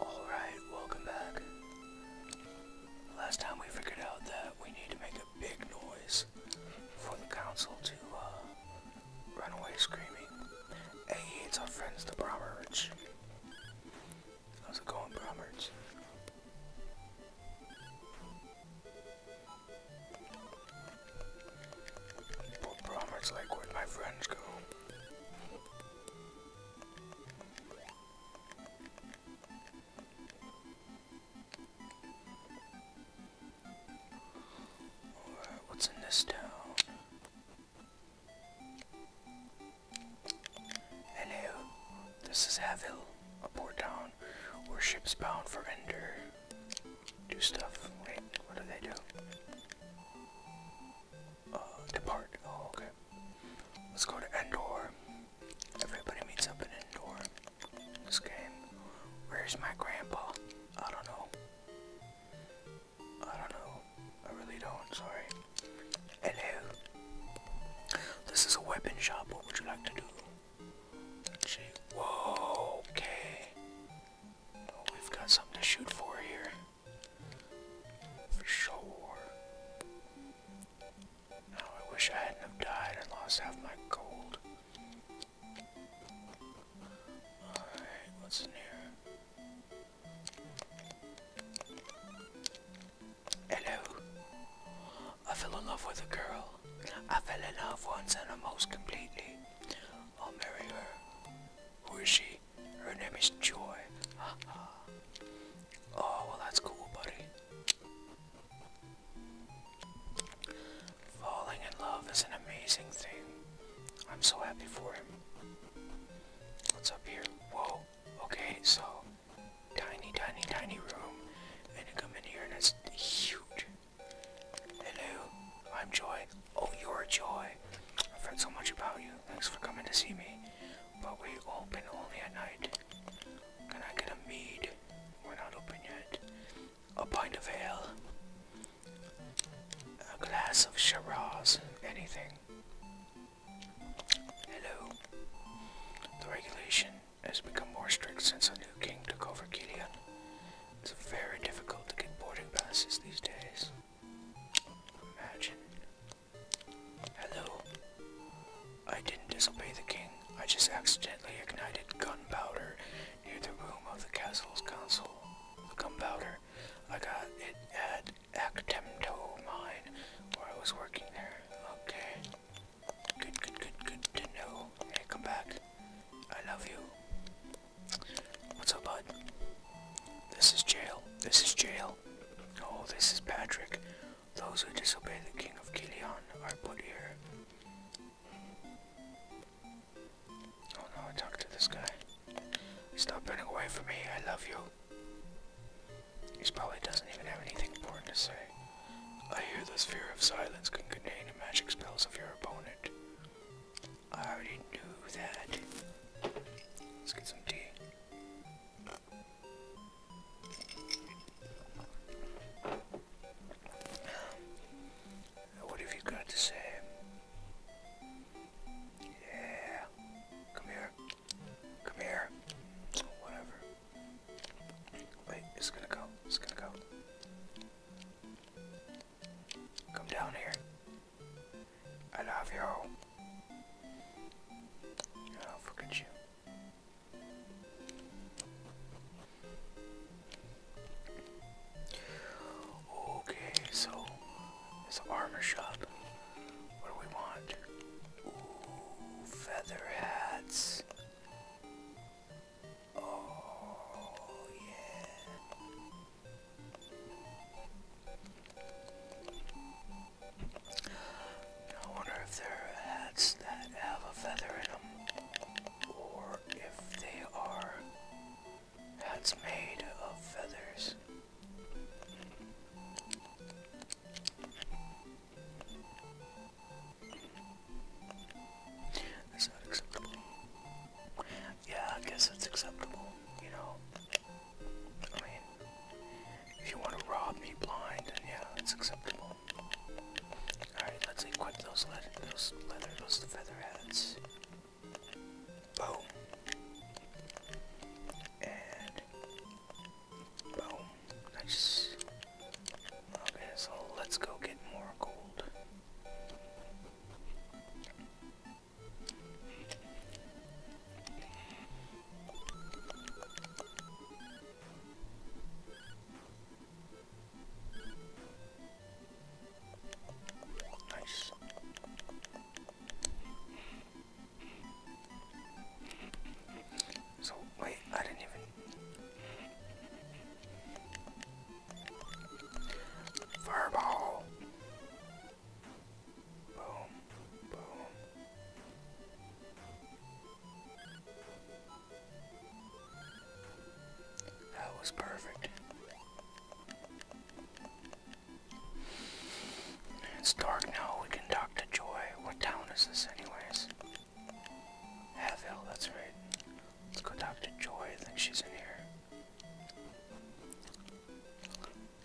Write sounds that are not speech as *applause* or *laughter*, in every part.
Alright, welcome back. Last time we figured out that we need to make a big noise for the council to uh, run away screaming. Hey, it's our friends the Bromwich. How's it going, Bromwich? Poor like, where my friends go? Alright, what's in this town? Hello, this is Havil, a port town where ships bound for Ender do stuff. Wait, what do they do? Uh, depart. Oh, okay. Let's go to Endor. Everybody meets up in Endor. This game. Where's my grandpa? I don't know. I don't know. I really don't. Sorry. Hello. This is a weapon shop. What would you like to do? Whoa. Okay. We've got something to shoot for here. For sure. Now I wish I hadn't have died and lost half my gold. Alright, what's in here? Hello. I fell in love with a girl. I fell in love once and almost completely. I'll marry her. Who is she? Her name is Joy. *laughs* Oh, well, that's cool, buddy. Falling in love is an amazing thing. I'm so happy for him. What's up here? Whoa. Okay, so tiny, tiny, tiny room. And you come in here and it's huge. Hello, I'm Joy. Oh, you're Joy. I've heard so much about you. Thanks for coming to see me. But we open only at night. Can I get a mead? We're not open yet. A pint of ale. A glass of Shiraz. Anything. Hello. The regulation has become more strict since a new king took over Gideon. It's very difficult to get boarding passes these days. Imagine. Hello. I didn't disobey the king. I just accidentally ignited gunpowder near the room of the castle's council. The gunpowder. I got it at Actemto Mine, where I was working there. Okay. Good, good, good, good to know. Hey, come back. I love you. What's up, bud? This is jail. This is jail. Oh, this is Patrick. Those who disobey the King of Kilian are put here. Oh no, talk to this guy. Stop running away from me. I love you. He probably doesn't even have anything important to say. I hear the sphere of silence can contain the magic spells of your opponent. I already knew that. Let's get some tea. What have you got to say? Yeah. Come here. Come here. Whatever. Wait, it's gonna go. It's gonna go. Come down here. I love you. Oh, look at you. Okay, so it's an armor shop. What do we want? Ooh, feather hats. Oh, I wonder if there are hats that have a feather in them, or if they are hats made of feathers. That's acceptable. Yeah, I guess that's acceptable, you know. I mean, if you want to rob me blind, then yeah, that's acceptable. Alright, let's equip those leather, those leather, those feather hats. Boom. And boom. Nice. Okay, so let's go get more gold. Nice. So wait, I didn't even Fireball. Boom. Boom. That was perfect. It's dark now. We can talk to Joy. What town is this, anyways? Hatfield, that's right. Let's go talk to Joy. I think she's in here.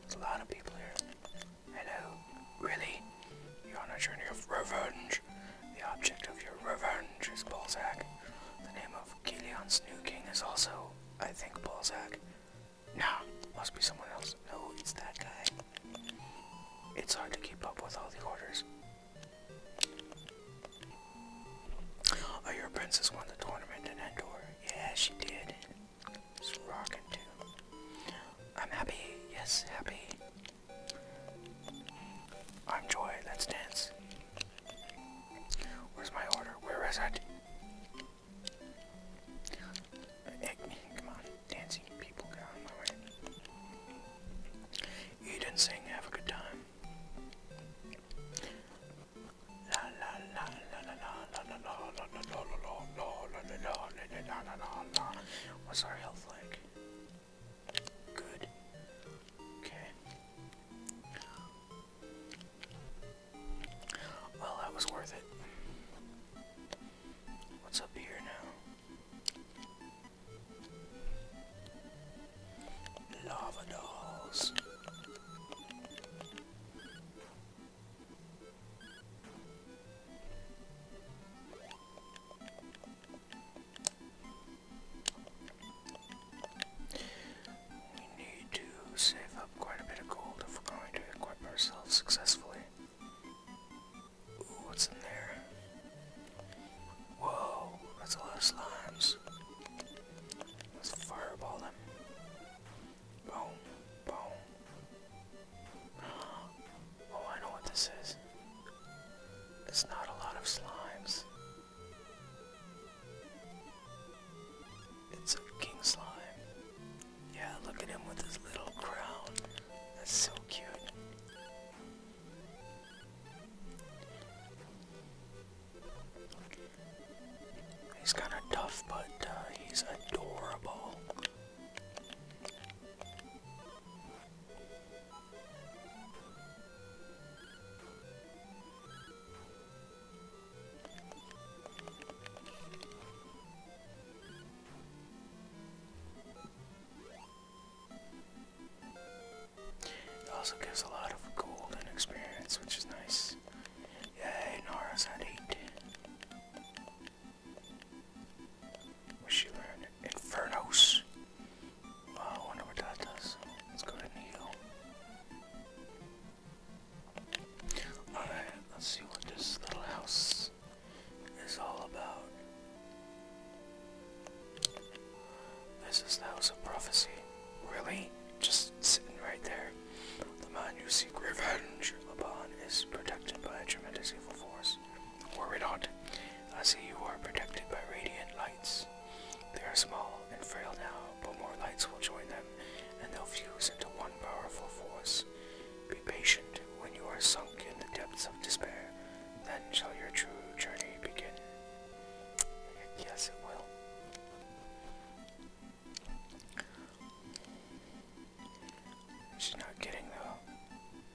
There's a lot of people here. Hello? Really? You're on a journey of revenge. The object of your revenge is Balzac. The name of Galeon's new king is also, I think, Balzac. Nah, must be someone else. No, it's that guy. It's hard to keep up with all the orders. Oh, your princess won the tournament in Endor. Yeah, she did. It's rocking too. I'm happy. Yes, happy. I'm joy. Let's dance. Where's my order? Where is it? Come on, dancing people, get out my way. Eat and sing, have a good time. What's our health Good. Okay. Well, that was worth it. What's up here now? Lava dolls. We need to save up quite a bit of gold if we're going to equip ourselves successfully. what's in there? Whoa, that's a lot of slimes. Let's fireball them. Boom, boom. Oh, I know what this is. It's not a lot of slimes. It's a king slime. Yeah, look at him with his little crown. That's so cute. He's kind of tough, but uh, he's adorable. It also gives a lot of gold and experience, which is nice. Yay, Nora's at 8. What she learned? Infernos! I wonder what that does. Let's go to Needle. Alright, let's see what this little house is all about. This is the house of prophecy. Really? Just sitting right there. The man you seek revenge upon is protected by a tremendous evil force. Were not? I see you are protected by radiant lights. They are small and frail now, but more lights will join them, and they'll fuse into one powerful force. Be patient when you are sunk in the depths of despair. Then shall your true journey begin. I guess it will. She's not kidding though.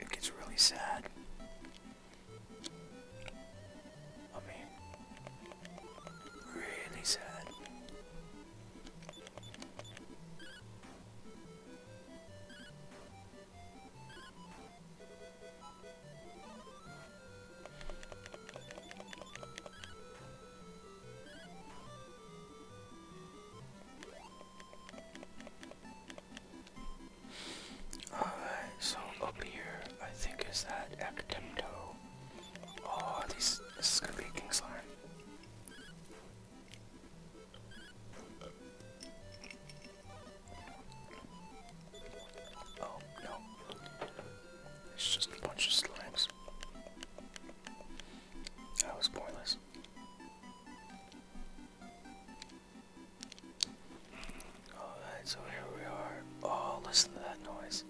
It gets really sad. I mean, really sad. Alright, so up here, I think is that Academto. Oh, these, this is gonna be a king slime. Oh no. It's just a bunch of slimes. That was pointless. Alright, so here we are. Oh, listen to that noise.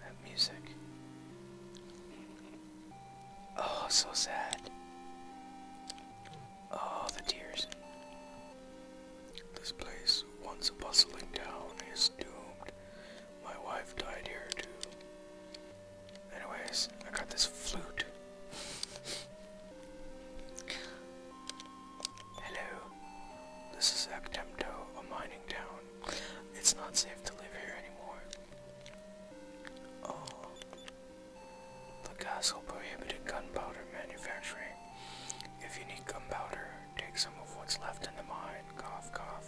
That music. Oh, so sad. Oh, the tears. This place, once a bustling town, is doomed. My wife died here too. Anyways, I got this flute. Hello. This is Actemto, a mining town. It's not safe to live here anymore. Oh. The castle prohibited gunpowder manufacturing. If you need gunpowder, Take some of what's left in the mine. Cough, cough.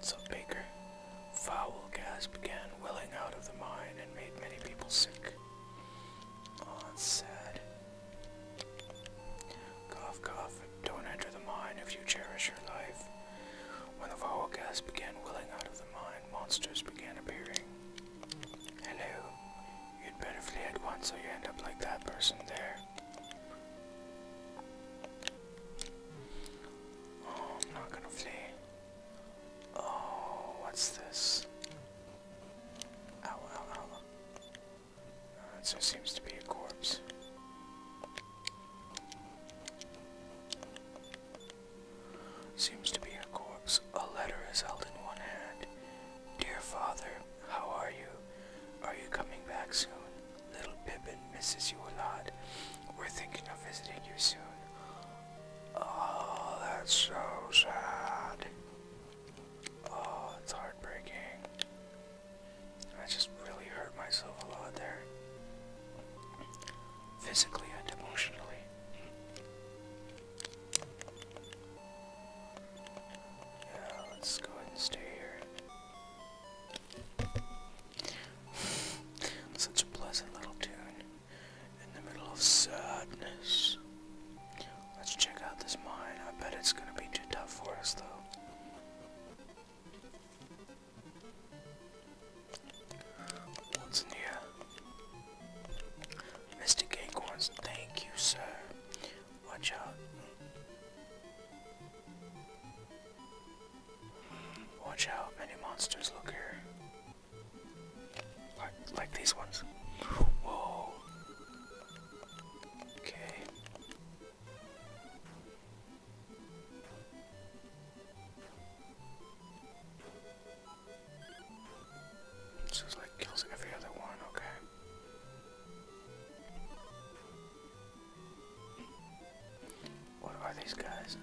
So Baker, foul gas began welling out of the mine and made many people sick. Oh, that's sad. Cough, cough. Don't enter the mine if you cherish your life. When the foul gas began welling out of the mine, monsters began appearing. Hello. You'd better flee at once or you end up like that person there. Oh, I'm not gonna flee. Oh, what's this? Oh, ow, ow. Uh, so seems to be a corpse. Seems to be a corpse. A letter is held in one hand. Dear father, how are you? Are you coming back soon? Little Pippin misses you a lot. We're thinking of visiting you soon. Oh, that's so sad. Oh, it's heartbreaking. I just really hurt myself a lot there. Physically and emotionally. Yeah, let's go ahead and stay here. *laughs* Such a pleasant little tune in the middle of sadness. Let's check out this mine. I bet it's gonna be too tough for us, though. What's in Mr. Gangorns, thank you, sir. Watch out. Watch out, many monsters look here. Like, like these ones. Whoa. Okay. It's just like kills every other one, okay. What are these guys?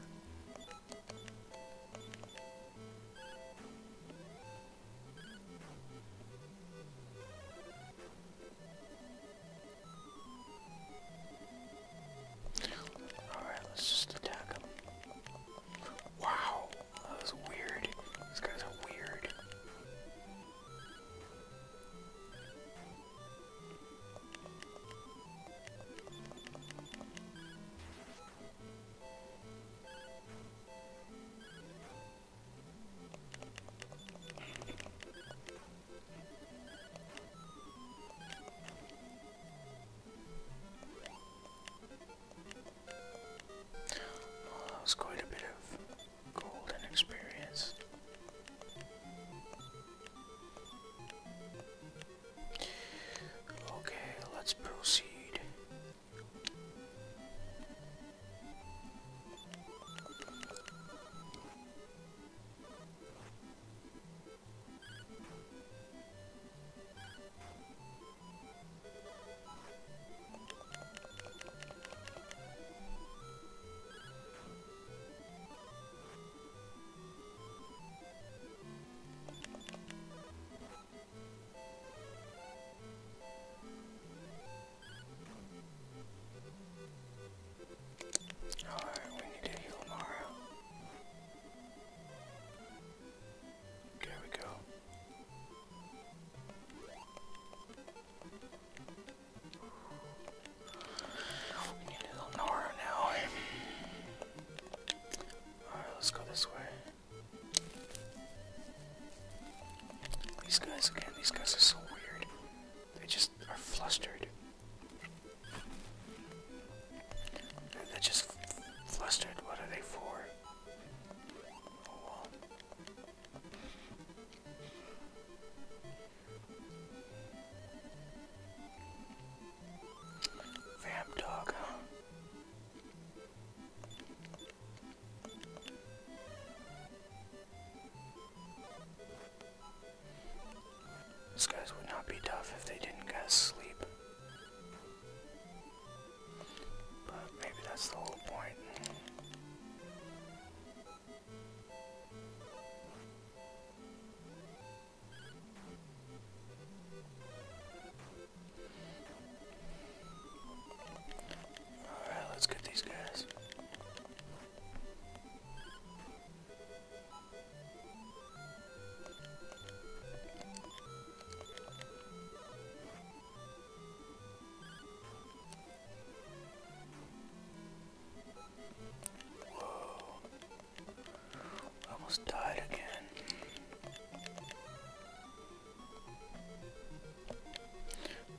Alright, let's just attack them. Wow, that was weird. These guys are weird that was quite a bit of golden experience. Okay, let's proceed. Alright, we need to heal Mara. There we go. We need a little Nora now. Alright, let's go this way. These guys, again, these guys are so weird. They just are flustered. They're just flustered. What are they for? Oh. Vamp dog, These guys would not be tough if they didn't get sleep. But maybe that's the whole point. Alright, let's get these guys. Whoa. Almost died again.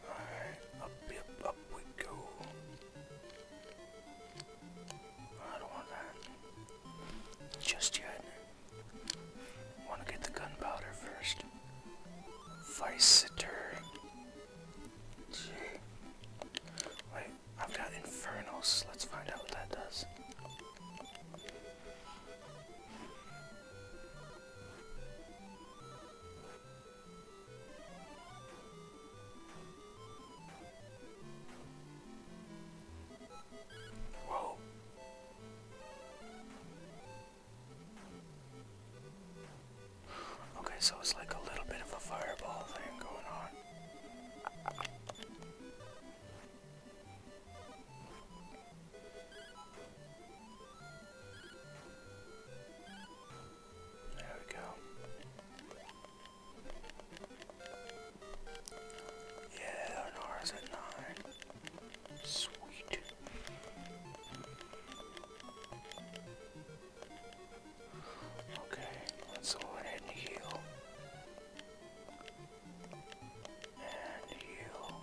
Alright, up, up, up we go. I don't want that. Just yet. Want to get the gunpowder first. Viciter. Gee. Wait, I've got Infernals. Let's find out what that does. Whoa. Okay, so it's like a little bit of a fireball thing going on. There we go. Yeah, Eleanor's at nine. Sweet. Okay, let's go ahead and heal. And heal.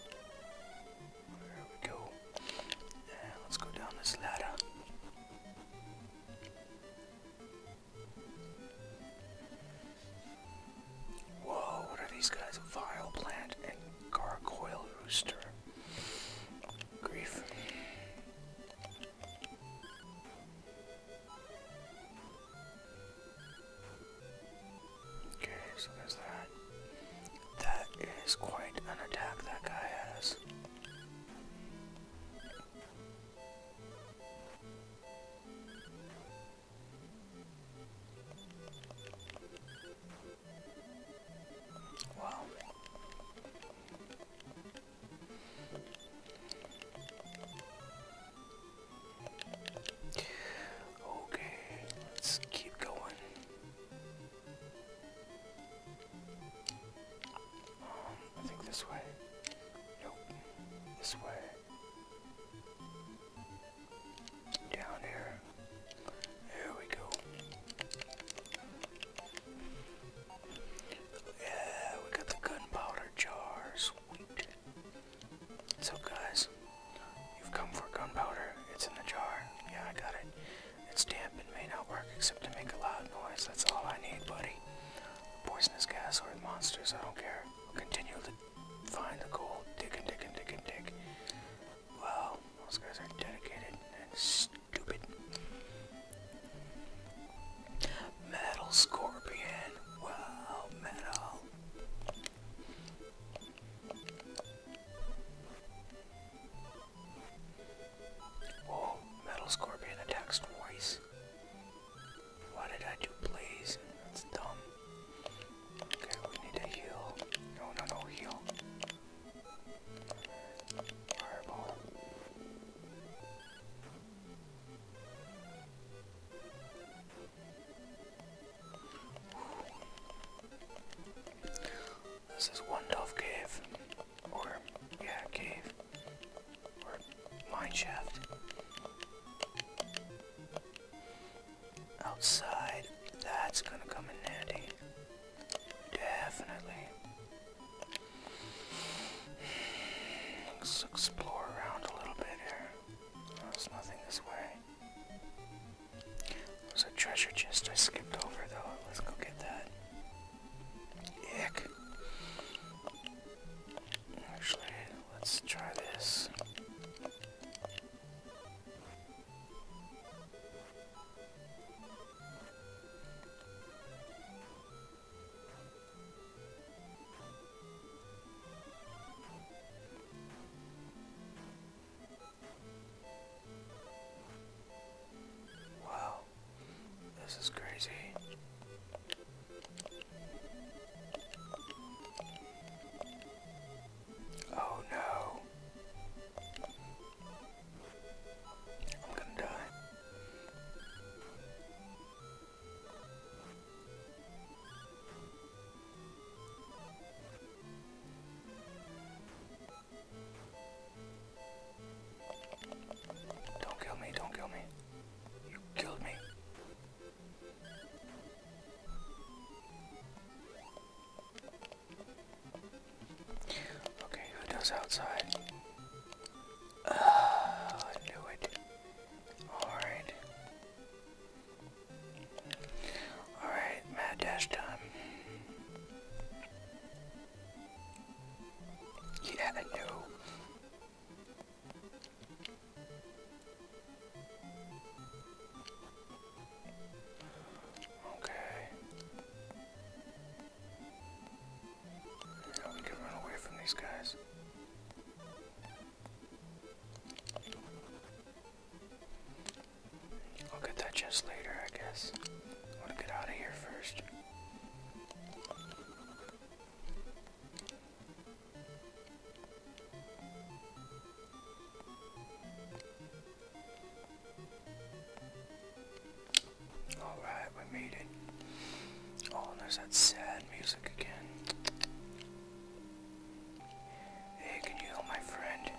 There we go. And let's go down this ladder. Whoa, what are these guys? Vile plant and gargoyle rooster. Grief. Okay, so there's that. That is quite an attack that guy has. Wow. Okay, let's keep going. Um, I think this way. Nope. This way. Down here. There we go. Yeah, we got the gunpowder jar. Sweet. So, guys, you've come for gunpowder. It's in the jar. Yeah, I got it. It's damp and may not work except to make a loud noise. That's all I need, buddy. Poisonous gas or monsters, I don't care. We'll continue the find the gold, dig and dig and dig and dig. Wow, those guys are dedicated and stupid. Metal Scorpion, wow, metal. Whoa, Metal Scorpion attacks twice. Why did I do please? That's dumb. Okay, we need a heal. No, no, no, heal. Fireball. This is one dove cave, or yeah, cave, or mine shaft outside. That's gonna come in handy. Definitely. Let's explore around a little bit here. There's nothing this way. There's a treasure chest I skipped over though. Let's go get that. Ick. Actually, let's try this. Wow, this is crazy. Oh no. I'm gonna die. Don't kill me, don't kill me. You killed me. Okay, Hotel's outside. Oh, I knew it. Alright. Alright, mad dash time. Yeah, I know. Okay. Now we can run away from these guys. I'll get that chest later, I guess. want to get out of here first. Alright, we made it. Oh, there's that sad music again. Hey, can you help my friend?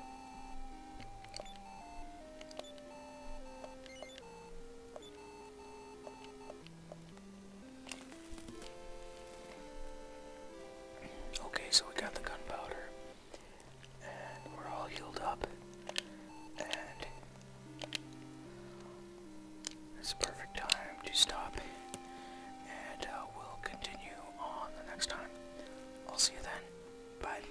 Okay, so we got the gunpowder, and we're all healed up, and it's a perfect time to stop, and uh, we'll continue on the next time. I'll see you then. Bye.